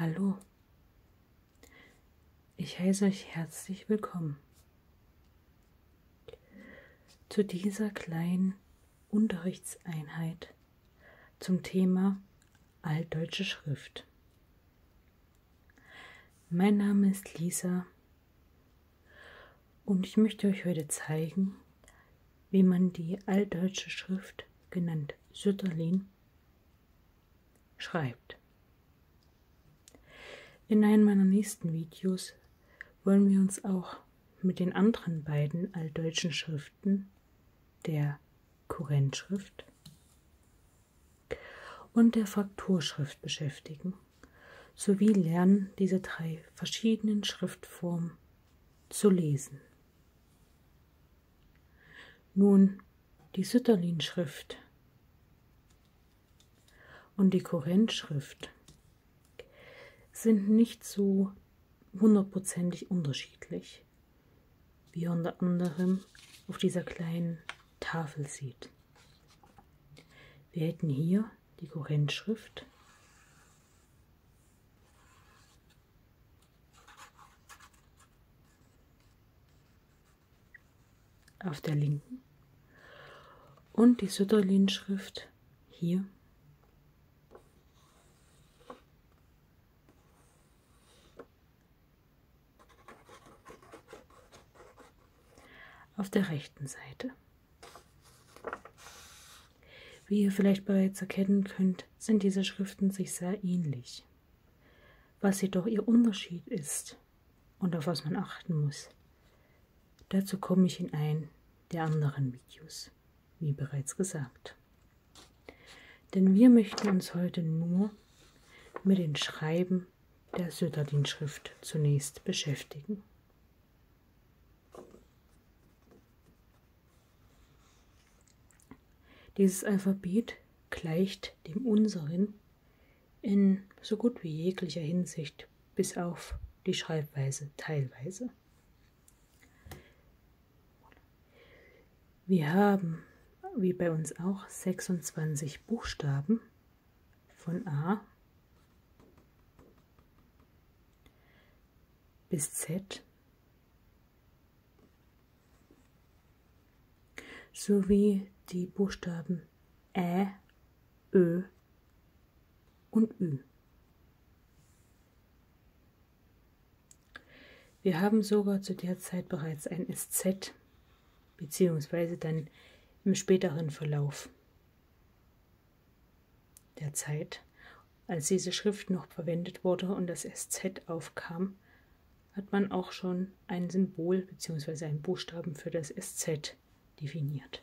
Hallo, ich heiße euch herzlich willkommen zu dieser kleinen Unterrichtseinheit zum Thema Altdeutsche Schrift. Mein Name ist Lisa und ich möchte euch heute zeigen, wie man die altdeutsche Schrift, genannt Sütterlin, schreibt. In einem meiner nächsten Videos wollen wir uns auch mit den anderen beiden altdeutschen Schriften, der Kurrentschrift und der Frakturschrift beschäftigen, sowie lernen, diese drei verschiedenen Schriftformen zu lesen. Nun die Sütterlin-Schrift und die Korinth-Schrift sind nicht so hundertprozentig unterschiedlich sich, wie er unter anderem auf dieser kleinen Tafel sieht. Wir hätten hier die Kohärenzschrift. auf der linken und die Sütterlin-Schrift hier auf der rechten Seite. Wie ihr vielleicht bereits erkennen könnt, sind diese Schriften sich sehr ähnlich. Was jedoch ihr Unterschied ist und auf was man achten muss, dazu komme ich in ein der anderen Videos, wie bereits gesagt. Denn wir möchten uns heute nur mit den Schreiben der Söderlin-Schrift zunächst beschäftigen. Dieses Alphabet gleicht dem unseren in so gut wie jeglicher Hinsicht, bis auf die Schreibweise teilweise. Wir haben, wie bei uns auch, 26 Buchstaben von A bis Z sowie die Buchstaben Ä, Ö und Ü. Wir haben sogar zu der Zeit bereits ein SZ, beziehungsweise dann im späteren Verlauf der Zeit, als diese Schrift noch verwendet wurde und das SZ aufkam, hat man auch schon ein Symbol bzw. einen Buchstaben für das SZ definiert.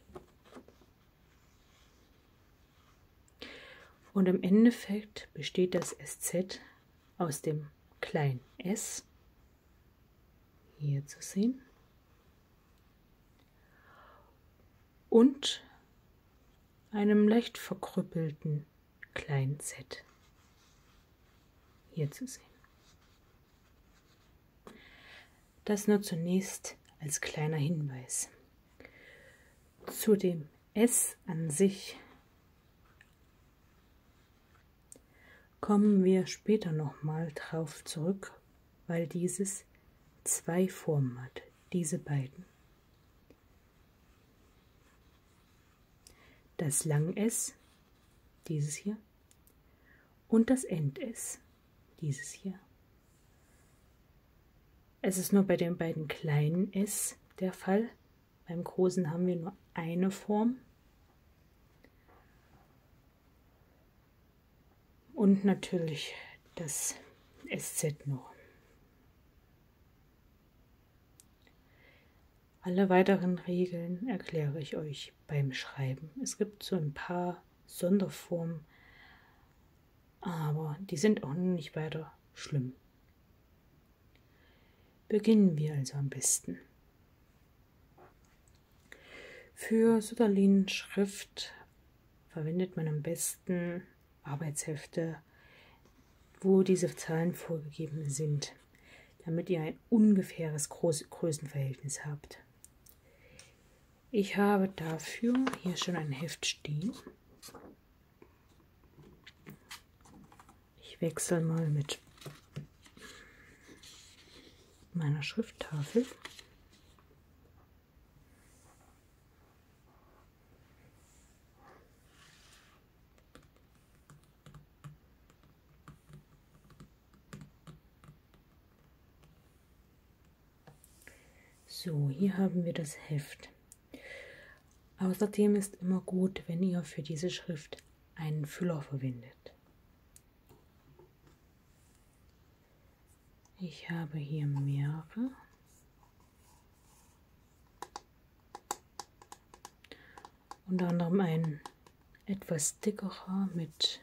Und im Endeffekt besteht das SZ aus dem kleinen S hier zu sehen und einem leicht verkrüppelten kleinen Z hier zu sehen. Das nur zunächst als kleiner Hinweis. Zu dem S an sich kommen wir später nochmal drauf zurück, weil dieses zwei Formen hat, diese beiden. Das Lang S, dieses hier, und das End S, dieses hier. Es ist nur bei den beiden kleinen S der Fall, beim Großen haben wir nur eine Form. Und natürlich das SZ noch. Alle weiteren Regeln erkläre ich euch beim Schreiben. Es gibt so ein paar Sonderformen, aber die sind auch nicht weiter schlimm. Beginnen wir also am besten. Für Sutterlin Schrift verwendet man am besten Arbeitshefte, wo diese Zahlen vorgegeben sind, damit ihr ein ungefähres Groß Größenverhältnis habt. Ich habe dafür hier schon ein Heft stehen. Ich wechsle mal mit meiner Schrifttafel. So, hier haben wir das Heft. Außerdem ist immer gut, wenn ihr für diese Schrift einen Füller verwendet. Ich habe hier mehrere. Unter anderem einen etwas dickerer mit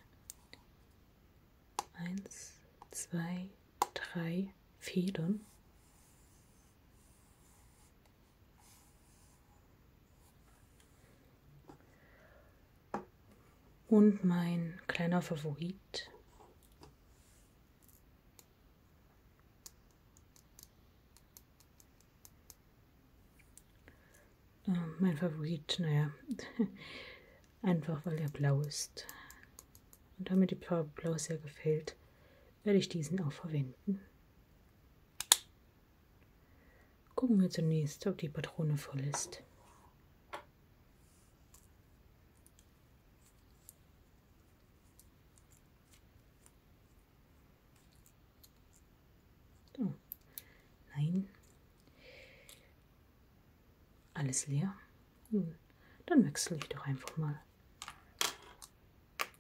1, 2, 3 Federn. Und mein kleiner Favorit. Äh, mein Favorit, naja, einfach weil er blau ist. Und damit die blaue sehr gefällt, werde ich diesen auch verwenden. Gucken wir zunächst, ob die Patrone voll ist. So. Nein. Alles leer. Hm. Dann wechsle ich doch einfach mal.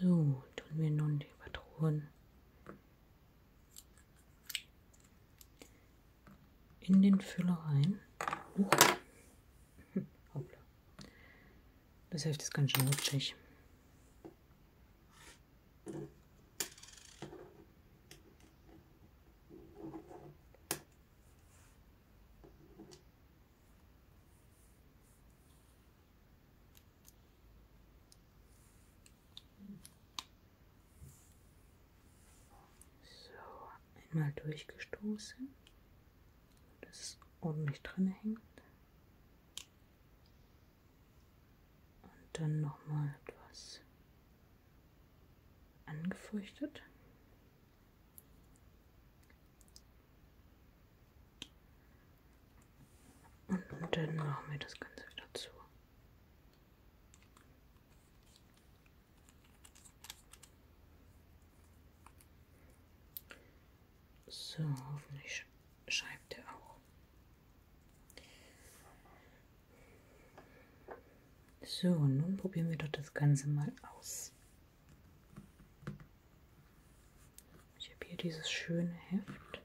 So, tun wir nun die Patronen in den Füller rein. Uh. Das Heft ist ganz schön rutschig. So, einmal durchgestoßen, dass es ordentlich drin hängt. Und dann nochmal etwas angefeuchtet. Und dann machen wir das Ganze wieder zu. So, hoffentlich schreibt er auch. So, nun probieren wir doch das Ganze mal aus. Ich habe hier dieses schöne Heft.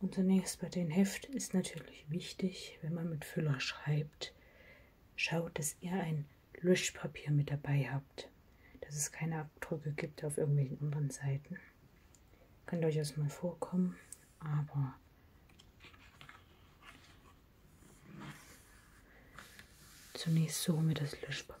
Und zunächst bei den Heft ist natürlich wichtig, wenn man mit Füller schreibt, schaut, dass ihr ein Löschpapier mit dabei habt, dass es keine Abdrücke gibt auf irgendwelchen anderen Seiten. Kann durchaus mal vorkommen, aber zunächst suchen wir das Löschpapier.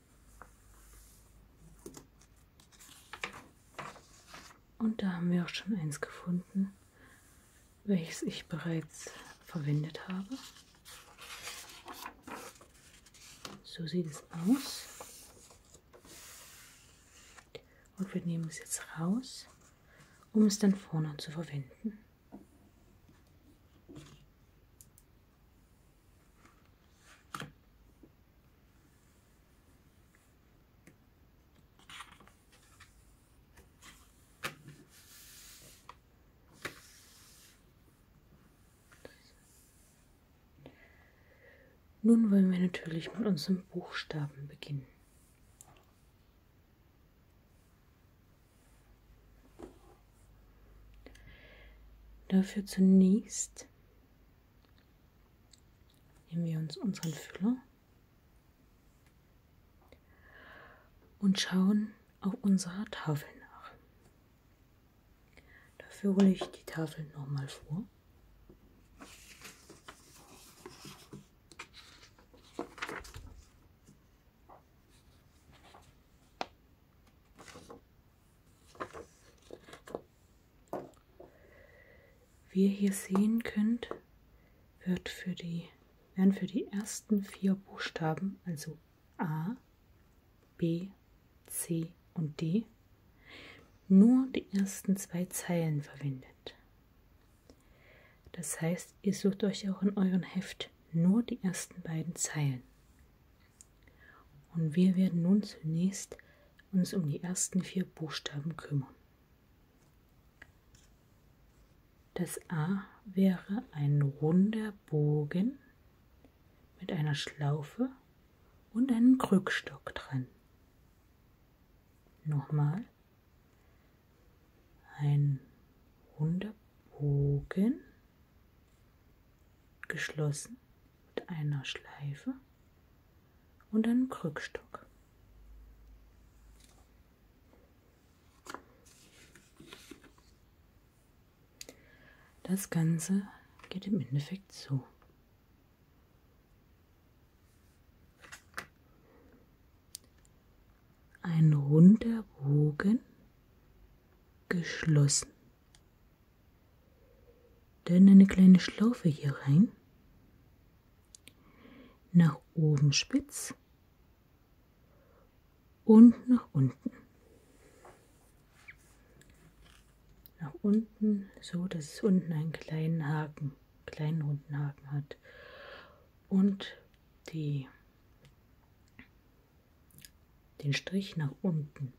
Und da haben wir auch schon eins gefunden, welches ich bereits verwendet habe. So sieht es aus. Und wir nehmen es jetzt raus, um es dann vorne zu verwenden. Nun wollen wir natürlich mit unserem Buchstaben beginnen. Dafür zunächst Nehmen wir uns unseren Füller und schauen auf unserer Tafel nach. Dafür hole ich die Tafel nochmal vor. Wie ihr hier sehen könnt, wird für die, werden für die ersten vier Buchstaben, also A, B, C und D, nur die ersten zwei Zeilen verwendet. Das heißt, ihr sucht euch auch in eurem Heft nur die ersten beiden Zeilen. Und wir werden nun zunächst uns um die ersten vier Buchstaben kümmern. Das A wäre ein runder Bogen mit einer Schlaufe und einem Krückstock dran. Nochmal. Ein runder Bogen geschlossen mit einer Schleife und einem Krückstock. Das Ganze geht im Endeffekt so. Ein runder Bogen, geschlossen dann eine kleine Schlaufe hier rein. Nach oben spitz und nach unten. Nach unten, so dass es unten einen kleinen Haken, kleinen runden Haken hat. Und die den Strich nach unten,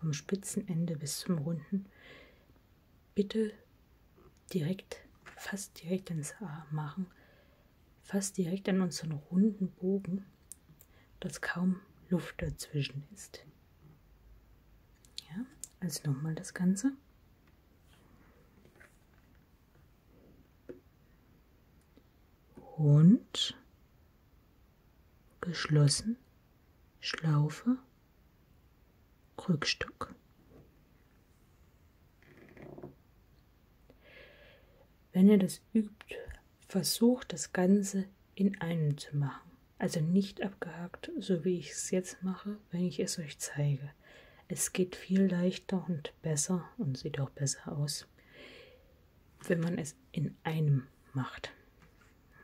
vom spitzen Ende bis zum runden, bitte direkt, fast direkt ins A machen, fast direkt an unseren runden Bogen, dass kaum Luft dazwischen ist. Ja, also nochmal das Ganze. Und geschlossen, Schlaufe, Krückstock. Wenn ihr das übt, versucht das Ganze in einem zu machen. Also nicht abgehakt, so wie ich es jetzt mache, wenn ich es euch zeige. Es geht viel leichter und besser und sieht auch besser aus wenn man es in einem macht.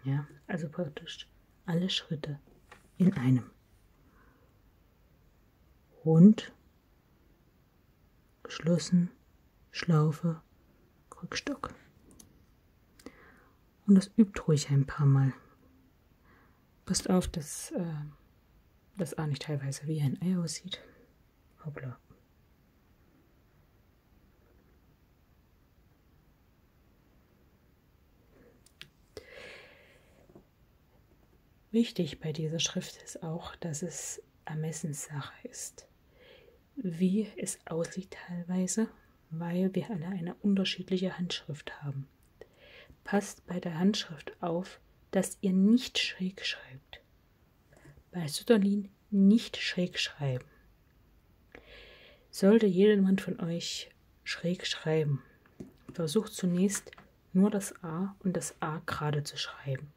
Ja, also praktisch alle Schritte in einem. Rund, geschlossen, Schlaufe, Krückstock. Und das übt ruhig ein paar Mal. Passt auf, dass äh, das auch nicht teilweise wie ein Ei aussieht. Hoppla. Wichtig bei dieser Schrift ist auch, dass es Ermessenssache ist, wie es aussieht teilweise, weil wir alle eine unterschiedliche Handschrift haben. Passt bei der Handschrift auf, dass ihr nicht schräg schreibt. Bei Sutterlin nicht schräg schreiben. Sollte jedermann von euch schräg schreiben, versucht zunächst nur das A und das A gerade zu schreiben.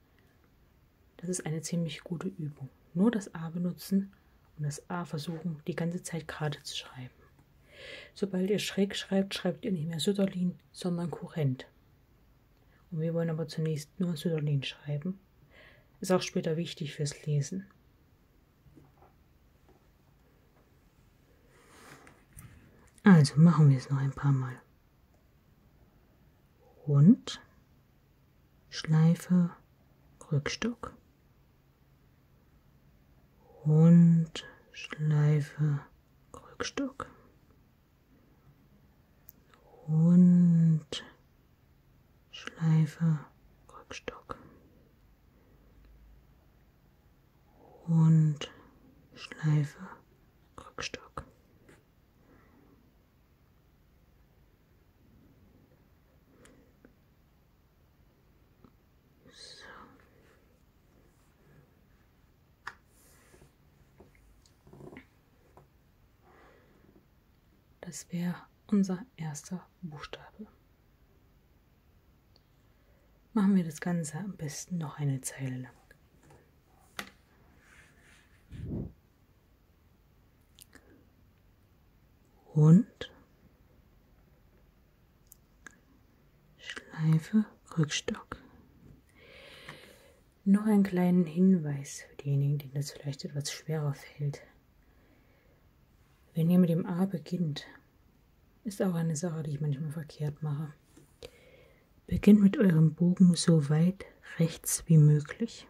Das ist eine ziemlich gute Übung. Nur das A benutzen und das A versuchen, die ganze Zeit gerade zu schreiben. Sobald ihr schräg schreibt, schreibt ihr nicht mehr Sütterlin, sondern Kurrent. Und wir wollen aber zunächst nur Sütterlin schreiben. Ist auch später wichtig fürs Lesen. Also machen wir es noch ein paar Mal. Rund, Schleife, Rückstock. Rund, Schleife, Rückstock. Rund, Schleife, Krückstock und Schleife, Krückstock. So. Das wäre unser erster Buchstabe. Machen wir das Ganze am besten noch eine Zeile lang. Hund, Schleife, Rückstock. Noch einen kleinen Hinweis für diejenigen, denen das vielleicht etwas schwerer fällt. Wenn ihr mit dem A beginnt, ist auch eine Sache, die ich manchmal verkehrt mache. Beginnt mit eurem Bogen so weit rechts wie möglich.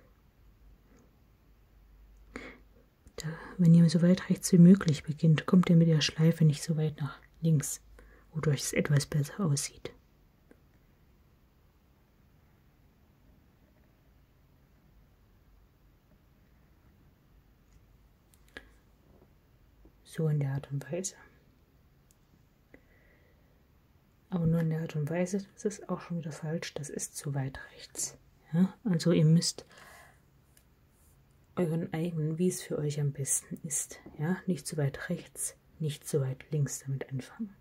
Da, wenn ihr so weit rechts wie möglich beginnt, kommt ihr mit der Schleife nicht so weit nach links, wodurch es etwas besser aussieht. So in der Art und Weise. Aber nur in der Art und Weise, das ist auch schon wieder falsch, das ist zu weit rechts. Ja? Also ihr müsst euren eigenen, wie es für euch am besten ist. Ja? Nicht zu weit rechts, nicht zu weit links damit anfangen.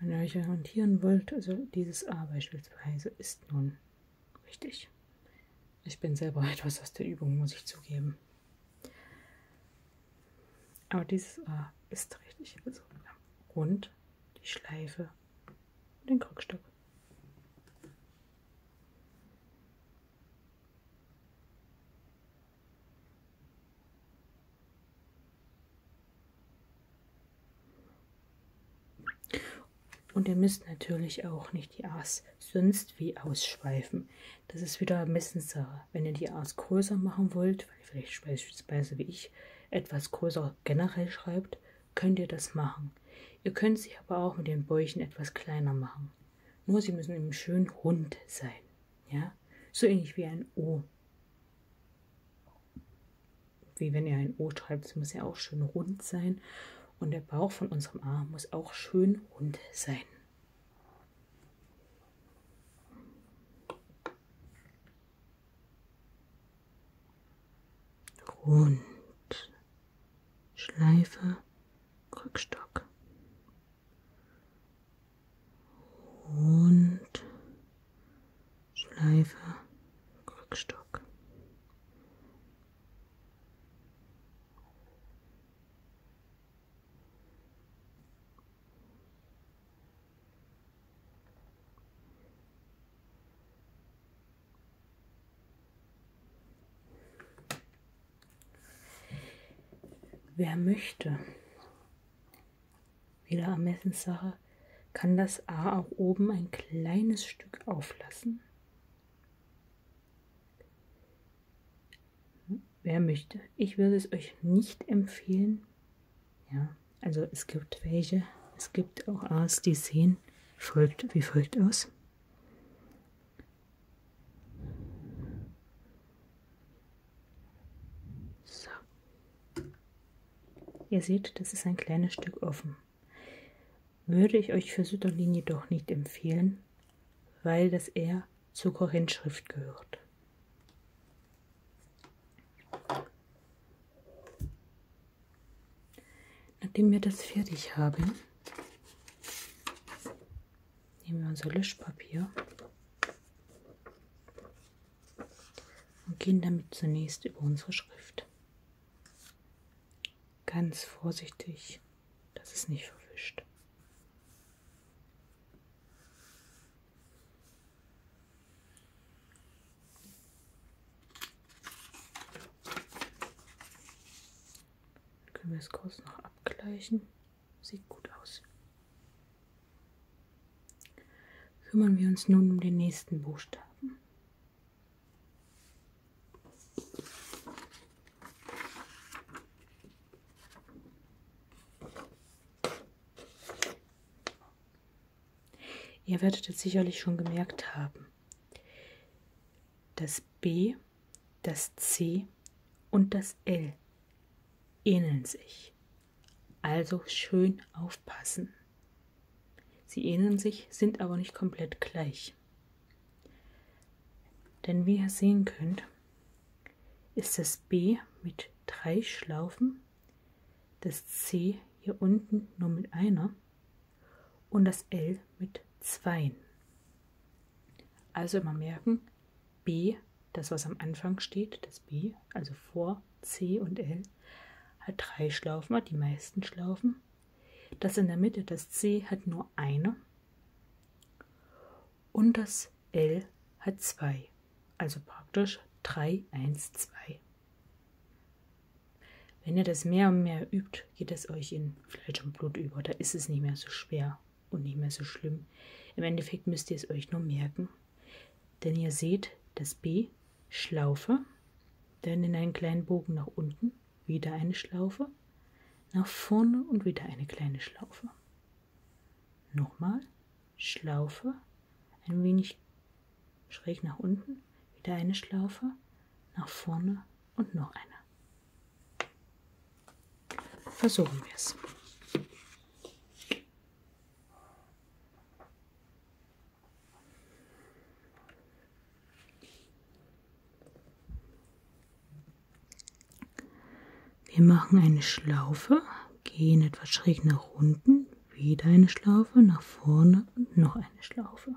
Wenn ihr euch orientieren wollt, also dieses A beispielsweise ist nun Richtig. Ich bin selber etwas aus der Übung, muss ich zugeben. Aber dieses A ist richtig. Also rund, die Schleife und den Krückstock. Und ihr müsst natürlich auch nicht die A's sonst wie ausschweifen. Das ist wieder Messenssache. Wenn ihr die A's größer machen wollt, weil vielleicht beispielsweise wie ich etwas größer generell schreibt, könnt ihr das machen. Ihr könnt sie aber auch mit den Bäuchen etwas kleiner machen. Nur sie müssen eben schön rund sein. Ja? So ähnlich wie ein O wie wenn ihr ein O schreibt, das muss ja auch schön rund sein. Und der Bauch von unserem A muss auch schön rund sein. Rund. Schleife, Krückstock. Rund. Schleife, Krückstock. Wer möchte, wieder Ermessenssache, kann das A auch oben ein kleines Stück auflassen Wer möchte? Ich würde es euch nicht empfehlen. Ja, also es gibt welche. Es gibt auch A's, die sehen folgt wie folgt aus. So. Ihr seht, das ist ein kleines Stück offen würde ich euch für Südderlin jedoch nicht empfehlen, weil das eher zur Korinthschrift gehört. Nachdem wir das fertig haben, nehmen wir unser Löschpapier und gehen damit zunächst über unsere Schrift. Ganz vorsichtig, dass es nicht verwischt. Dann können wir es kurz noch abgleichen. Sieht gut aus. Kümmern wir uns nun um den nächsten Buchstaben. Ihr werdet jetzt sicherlich schon gemerkt haben, das B, das C und das L ähneln sich. Also schön aufpassen. Sie ähneln sich, sind aber nicht komplett gleich. Denn wie ihr sehen könnt, ist das B mit drei Schlaufen, das C hier unten nur mit einer und das L mit zwei. Also immer merken, B, das was am Anfang steht, das B, also vor C und L, hat drei Schlaufen, hat die meisten Schlaufen das in der Mitte, das C, hat nur eine und das L hat zwei. Also praktisch 3, 1, 2. Wenn ihr das mehr und mehr übt, geht es euch in Fleisch und Blut über. Da ist es nicht mehr so schwer und nicht mehr so schlimm. Im Endeffekt müsst ihr es euch nur merken. Denn ihr seht das B, Schlaufe, dann in einen kleinen Bogen nach unten wieder eine Schlaufe, nach vorne und wieder eine kleine Schlaufe. Nochmal, Schlaufe, ein wenig schräg nach unten, wieder eine Schlaufe, nach vorne und noch eine. Versuchen wir es. Wir machen eine Schlaufe, gehen etwas schräg nach unten, wieder eine Schlaufe, nach vorne und noch eine Schlaufe.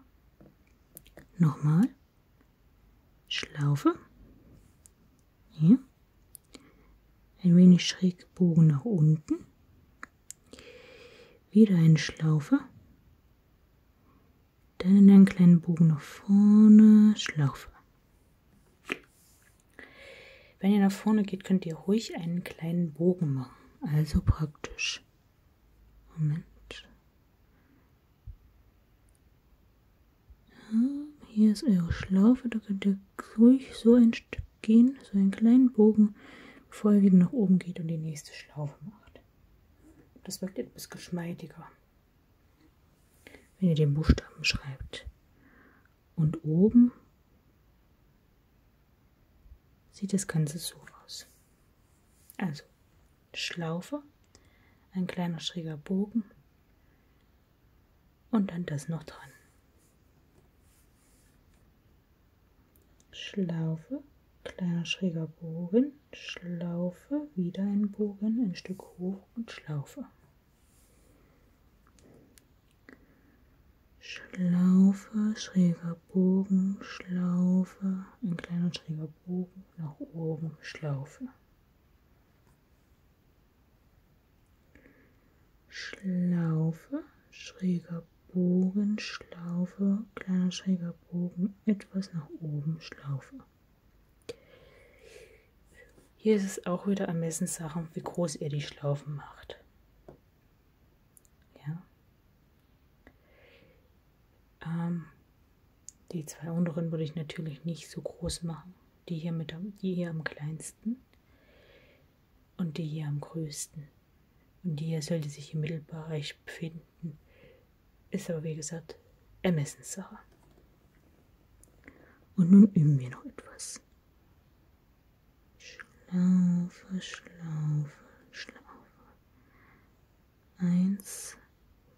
Nochmal. Schlaufe. Hier. Ein wenig schräg gebogen nach unten. Wieder eine Schlaufe. Dann in einen kleinen Bogen nach vorne, Schlaufe. Wenn ihr nach vorne geht, könnt ihr ruhig einen kleinen Bogen machen. Also praktisch. Moment. Ja, hier ist eure Schlaufe. Da könnt ihr ruhig so ein Stück gehen, so einen kleinen Bogen, bevor ihr wieder nach oben geht und die nächste Schlaufe macht. Das wirkt etwas geschmeidiger. Wenn ihr den Buchstaben schreibt. Und oben sieht das Ganze so aus. Also Schlaufe, ein kleiner schräger Bogen und dann das noch dran. Schlaufe, kleiner schräger Bogen, Schlaufe, wieder ein Bogen, ein Stück hoch und Schlaufe. Schlaufe, schräger Bogen, Schlaufe, ein kleiner schräger Bogen, nach oben, Schlaufe. Schlaufe, schräger Bogen, Schlaufe, kleiner schräger Bogen, etwas nach oben schlaufe. Hier ist es auch wieder Ermessenssache, wie groß ihr die Schlaufen macht. Ja. Ähm, die zwei unteren würde ich natürlich nicht so groß machen. Die hier, mit, die hier am kleinsten und die hier am größten. Und die hier sollte sich im Mittelbereich befinden ist aber wie gesagt Ermessenssache. Und nun üben wir noch etwas. Schlaufe, Schlaufe, Schlaufe. Eins,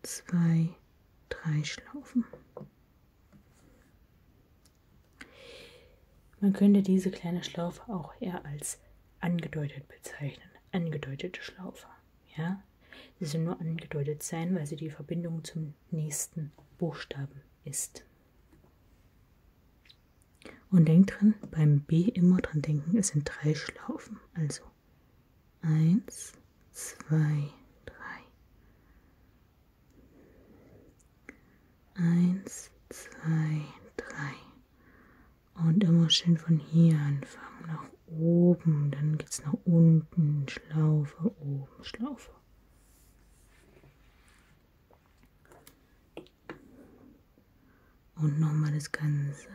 zwei, drei Schlaufen. Man könnte diese kleine Schlaufe auch eher als angedeutet bezeichnen. Angedeutete Schlaufe. Ja? Sie soll nur angedeutet sein, weil sie die Verbindung zum nächsten Buchstaben ist. Und denkt dran, beim B immer dran denken, es sind drei Schlaufen. Also 1, 2, 3. 1, 2, 3. Und immer schön von hier anfangen, nach oben, dann geht es nach unten, Schlaufe, oben, Schlaufe. Und nochmal das Ganze.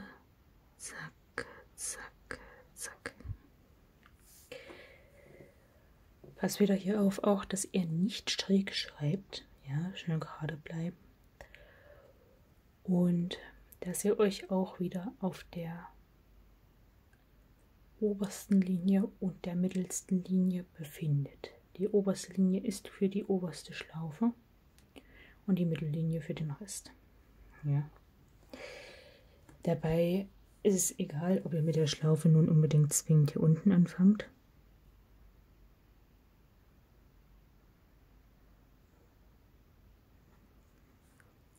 Zack, zack, zack. Passt wieder hier auf, auch dass ihr nicht schräg schreibt. Ja, schön gerade bleiben und dass ihr euch auch wieder auf der obersten Linie und der mittelsten Linie befindet. Die oberste Linie ist für die oberste Schlaufe und die Mittellinie für den Rest. Ja. Dabei ist es egal, ob ihr mit der Schlaufe nun unbedingt zwingend hier unten anfangt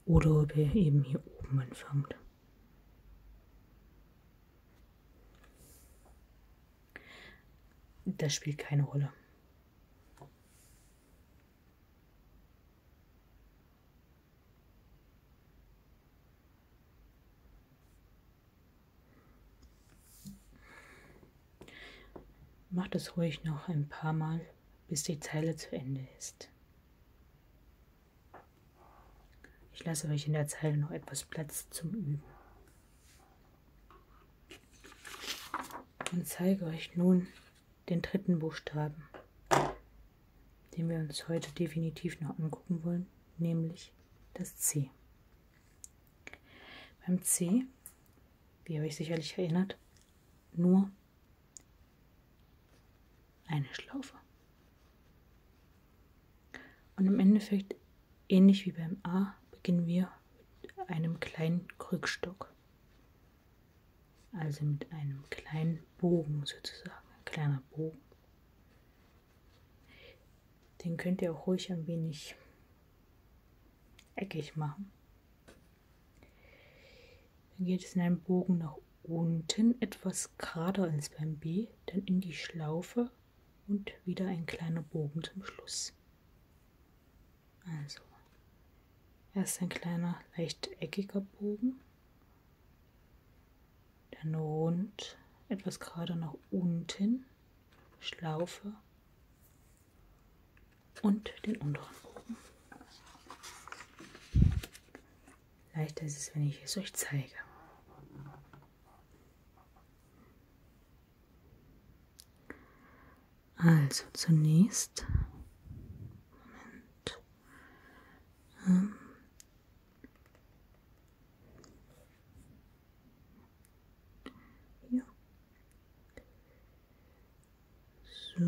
oder ob ihr eben hier oben anfangt. Das spielt keine Rolle. Macht es ruhig noch ein paar Mal, bis die Zeile zu Ende ist. Ich lasse euch in der Zeile noch etwas Platz zum Üben. Und zeige euch nun den dritten Buchstaben, den wir uns heute definitiv noch angucken wollen, nämlich das C. Beim C, wie ihr euch sicherlich erinnert, nur eine Schlaufe. Und im Endeffekt, ähnlich wie beim A, beginnen wir mit einem kleinen Krückstock. Also mit einem kleinen Bogen sozusagen, ein kleiner Bogen. Den könnt ihr auch ruhig ein wenig eckig machen. Dann geht es in einem Bogen nach unten etwas gerader ins beim B, dann in die Schlaufe und wieder ein kleiner Bogen zum Schluss. Also erst ein kleiner leicht eckiger Bogen, dann rund, etwas gerader nach unten, Schlaufe und den unteren oben. Leichter ist es, wenn ich es euch zeige. Also zunächst, Moment, ähm, so.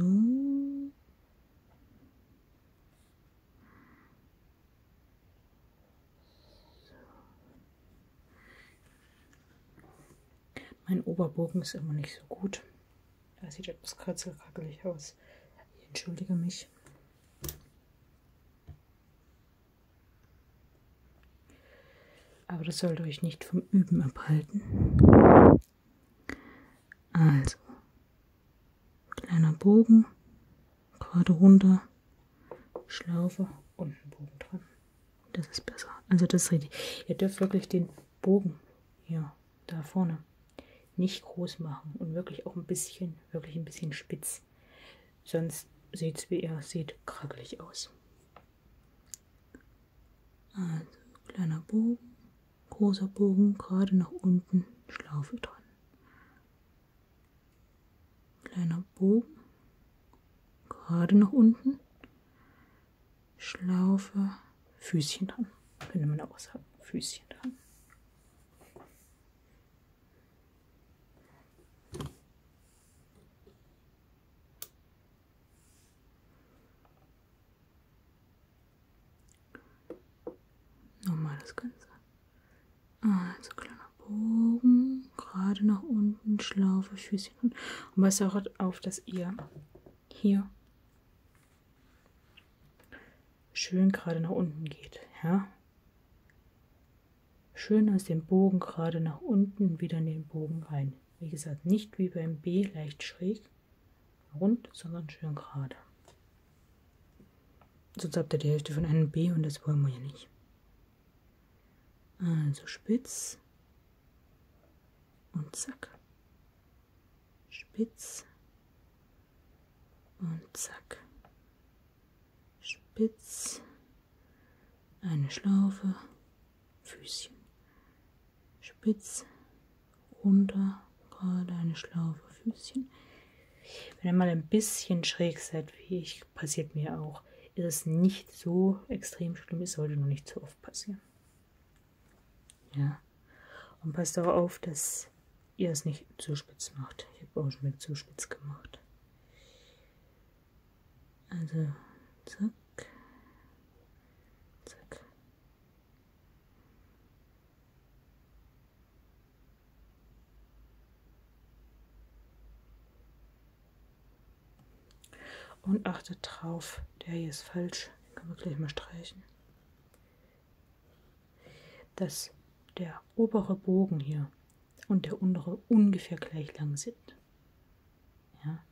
Mein Oberbogen ist immer nicht so gut. Da sieht etwas kratzelkrackelig aus. Ich entschuldige mich. Aber das sollte euch nicht vom Üben abhalten. Also, kleiner Bogen, gerade runter, Schlaufe und ein Bogen dran. Das ist besser. Also das ist richtig. Ihr dürft wirklich den Bogen hier, da vorne, nicht groß machen und wirklich auch ein bisschen, wirklich ein bisschen spitz. Sonst sieht es, wie ihr seht, krackelig aus. Also kleiner Bogen, großer Bogen, gerade nach unten, Schlaufe dran. Kleiner Bogen, gerade nach unten, Schlaufe, Füßchen dran. Könnte man auch sagen, Füßchen dran. Normales Ganze. Also kleiner Bogen, gerade nach unten, Schlaufe, Füßchen und passt auch auf, dass ihr hier schön gerade nach unten geht. Ja? Schön aus dem Bogen gerade nach unten wieder in den Bogen rein. Wie gesagt, nicht wie beim B leicht schräg, rund, sondern schön gerade. Sonst habt ihr die Hälfte von einem B und das wollen wir ja nicht. Also spitz und zack. Spitz und zack. Spitz, eine Schlaufe Füßchen. Spitz, runter, gerade eine Schlaufe, Füßchen. Wenn ihr mal ein bisschen schräg seid, wie ich, passiert mir auch, ist es nicht so extrem schlimm. Es sollte nur nicht so oft passieren. Ja. Und passt auch auf, dass ihr es nicht zu spitz macht. Ich habe auch schon mit zu spitz gemacht. Also, zack, zack. Und achtet drauf, der hier ist falsch. Den können wir gleich mal streichen. Dass der obere Bogen hier und der untere ungefähr gleich lang sind wird. Ja?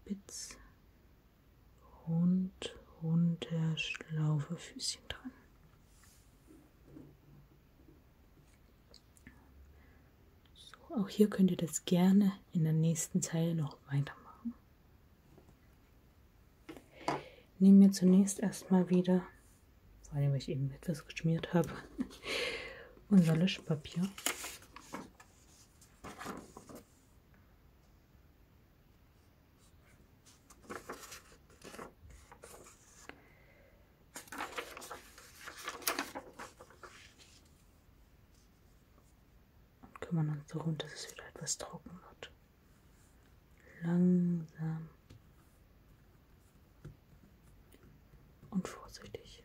Spitz, rund, runter, schlaufe Füßchen dran. So, auch hier könnt ihr das gerne in der nächsten Zeile noch weitermachen. Nehmen wir zunächst erstmal wieder vor allem, weil ich eben etwas geschmiert habe. Unser Löschpapier. kümmern uns darum, dass es wieder etwas trocken wird. Langsam und vorsichtig.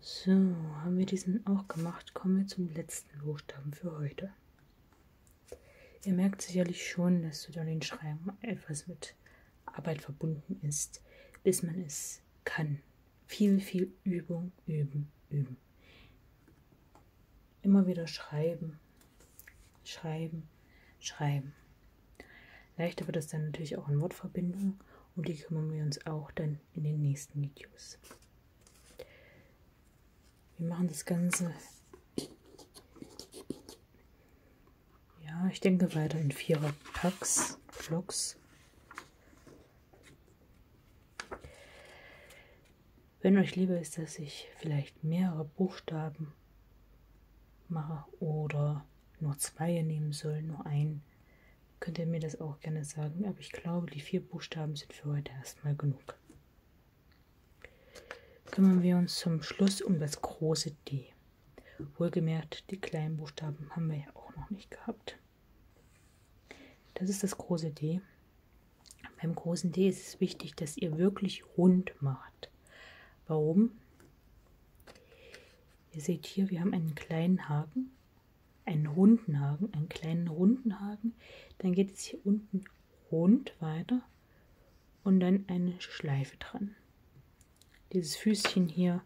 So, haben wir diesen auch gemacht, kommen wir zum letzten Buchstaben für heute. Ihr merkt sicherlich schon, dass zu den Schreiben etwas mit Arbeit verbunden ist, bis man es kann. Viel, viel Übung, üben, üben. Immer wieder schreiben, schreiben, schreiben. Leichter wird es dann natürlich auch in Wortverbindungen und die kümmern wir uns auch dann in den nächsten Videos. Wir machen das Ganze. Ja, ich denke weiter in vierer Packs, Blocks. Wenn euch lieber ist, dass ich vielleicht mehrere Buchstaben mache oder nur zwei nehmen soll, nur einen, könnt ihr mir das auch gerne sagen. Aber ich glaube, die vier Buchstaben sind für heute erstmal genug. Kümmern wir uns zum Schluss um das große D. Wohlgemerkt, die kleinen Buchstaben haben wir ja auch noch nicht gehabt. Das ist das große D. Beim großen D ist es wichtig, dass ihr wirklich rund macht. Warum? Ihr seht hier, wir haben einen kleinen Haken, einen runden Haken, einen kleinen runden Haken. Dann geht es hier unten rund weiter und dann eine Schleife dran. Dieses Füßchen hier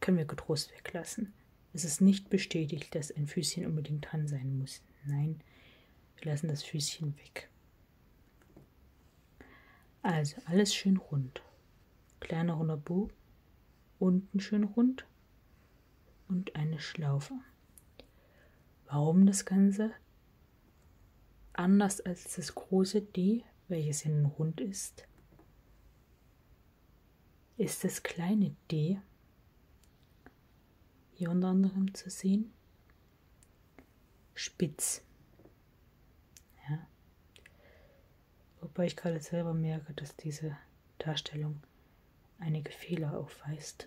können wir getrost weglassen. Es ist nicht bestätigt, dass ein Füßchen unbedingt dran sein muss. Nein, wir lassen das Füßchen weg. Also alles schön rund. Kleiner runder Bogen, unten schön rund und eine Schlaufe. Warum das Ganze? Anders als das große D, welches innen rund ist, ist das kleine D hier unter anderem zu sehen, spitz. Ja. Wobei ich gerade selber merke, dass diese Darstellung einige Fehler aufweist.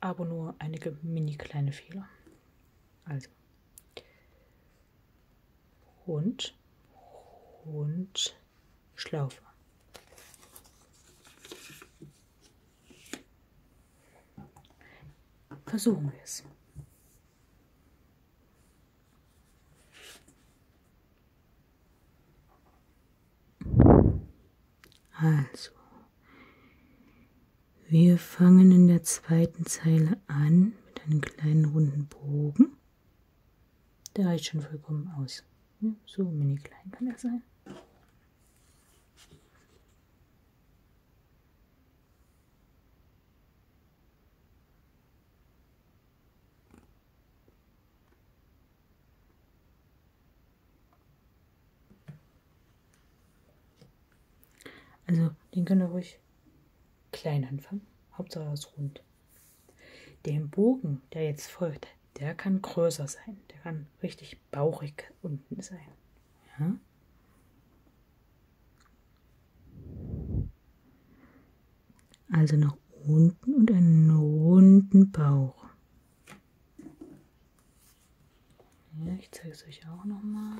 Aber nur einige mini kleine Fehler. Also. Hund, Hund, Schlaufe. Versuchen wir es. Also, wir fangen in der zweiten Zeile an mit einem kleinen runden Bogen. Der reicht schon vollkommen aus. Ja, so mini klein kann er sein. Also, den könnt ihr ruhig klein anfangen. Hauptsache er ist rund. Den Bogen, der jetzt folgt, der kann größer sein. Der kann richtig bauchig unten sein. Ja? Also nach unten und einen runden Bauch. Ja, ich zeige es euch auch nochmal.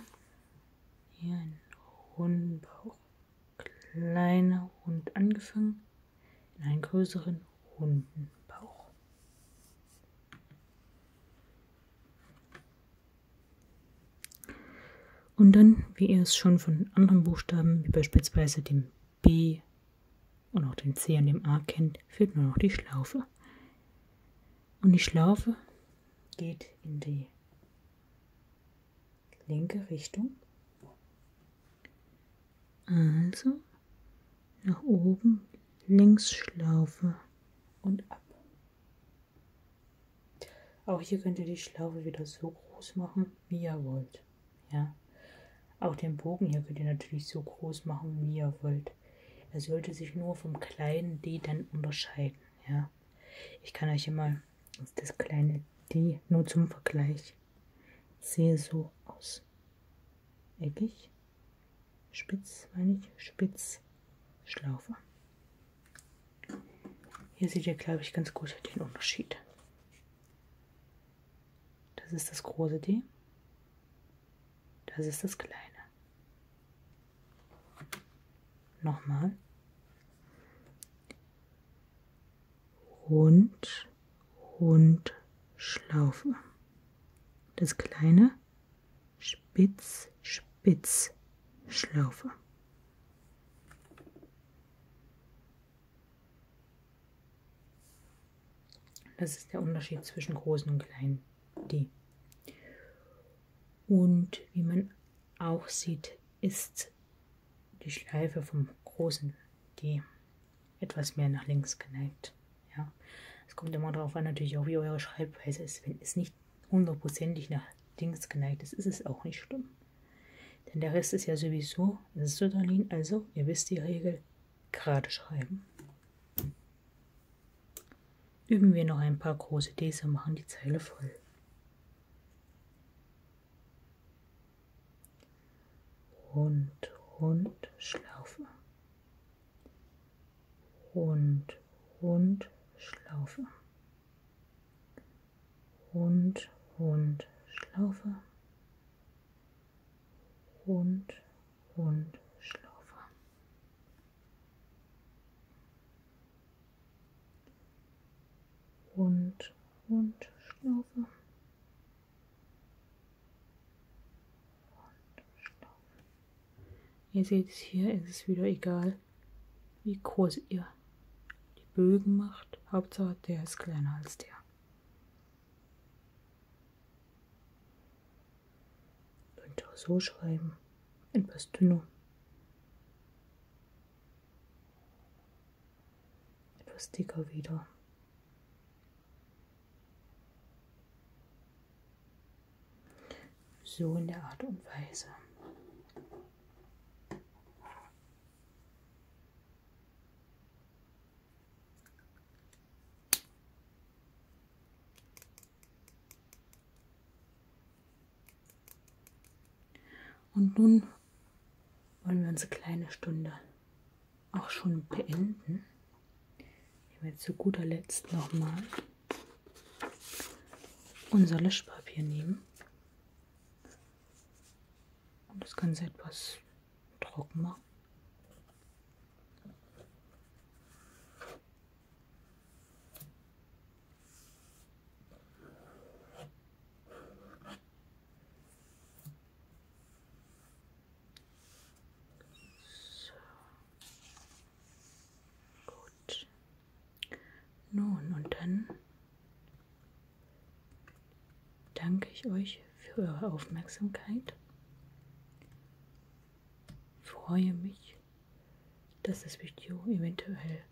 Hier einen runden Bauch. Kleiner rund angefangen in einen größeren runden Bauch. Und dann, wie ihr es schon von anderen Buchstaben, wie beispielsweise dem B und auch den C an dem A kennt, fehlt nur noch die Schlaufe. Und die Schlaufe geht in die linke Richtung. Also nach oben, links Schlaufe und ab. Auch hier könnt ihr die Schlaufe wieder so groß machen, wie ihr wollt. Ja. Auch den Bogen hier könnt ihr natürlich so groß machen, wie ihr wollt. Er sollte sich nur vom kleinen D dann unterscheiden. Ja. Ich kann euch immer das kleine D nur zum Vergleich. Sehe so aus. Eckig, spitz, meine ich, spitz, Schlaufe. Hier seht ihr, glaube ich, ganz gut den Unterschied. Das ist das große D. Das ist das kleine. Nochmal. Rund, rund, Schlaufe. Das kleine Spitz, Spitz, Schlaufe. Das ist der Unterschied zwischen großen und kleinen D. Und wie man auch sieht, ist die Schleife vom großen D etwas mehr nach links geneigt. Ja, es kommt immer darauf an, natürlich auch wie eure Schreibweise ist. Wenn es nicht hundertprozentig nach links geneigt ist, ist es auch nicht schlimm. Denn der Rest ist ja sowieso Sütterlin, also ihr wisst die Regel, gerade schreiben. Üben wir noch ein paar große Ds und machen die Zeile voll. Rund, rund, Schlaufe. Rund, rund, Schlaufe rund, rund, Schlaufe, rund, rund, Schlaufe. Rund, rund, Schlaufe. Ihr seht es hier, ist es wieder egal, wie groß ihr die Bögen macht. Hauptsache, der ist kleiner als der. Könnt ihr auch so schreiben, etwas dünner. Etwas dicker wieder. So in der Art und Weise. Und nun wollen wir unsere kleine Stunde auch schon beenden. Ich habe jetzt zu guter Letzt nochmal unser Löschpapier nehmen und das können Sie etwas trocken machen. Nun, und dann danke ich euch für eure Aufmerksamkeit. Freue mich, dass das Video eventuell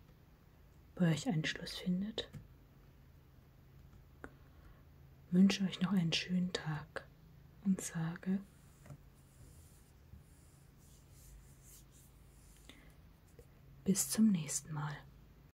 bei euch Anschluss findet. Wünsche euch noch einen schönen Tag und sage bis zum nächsten Mal.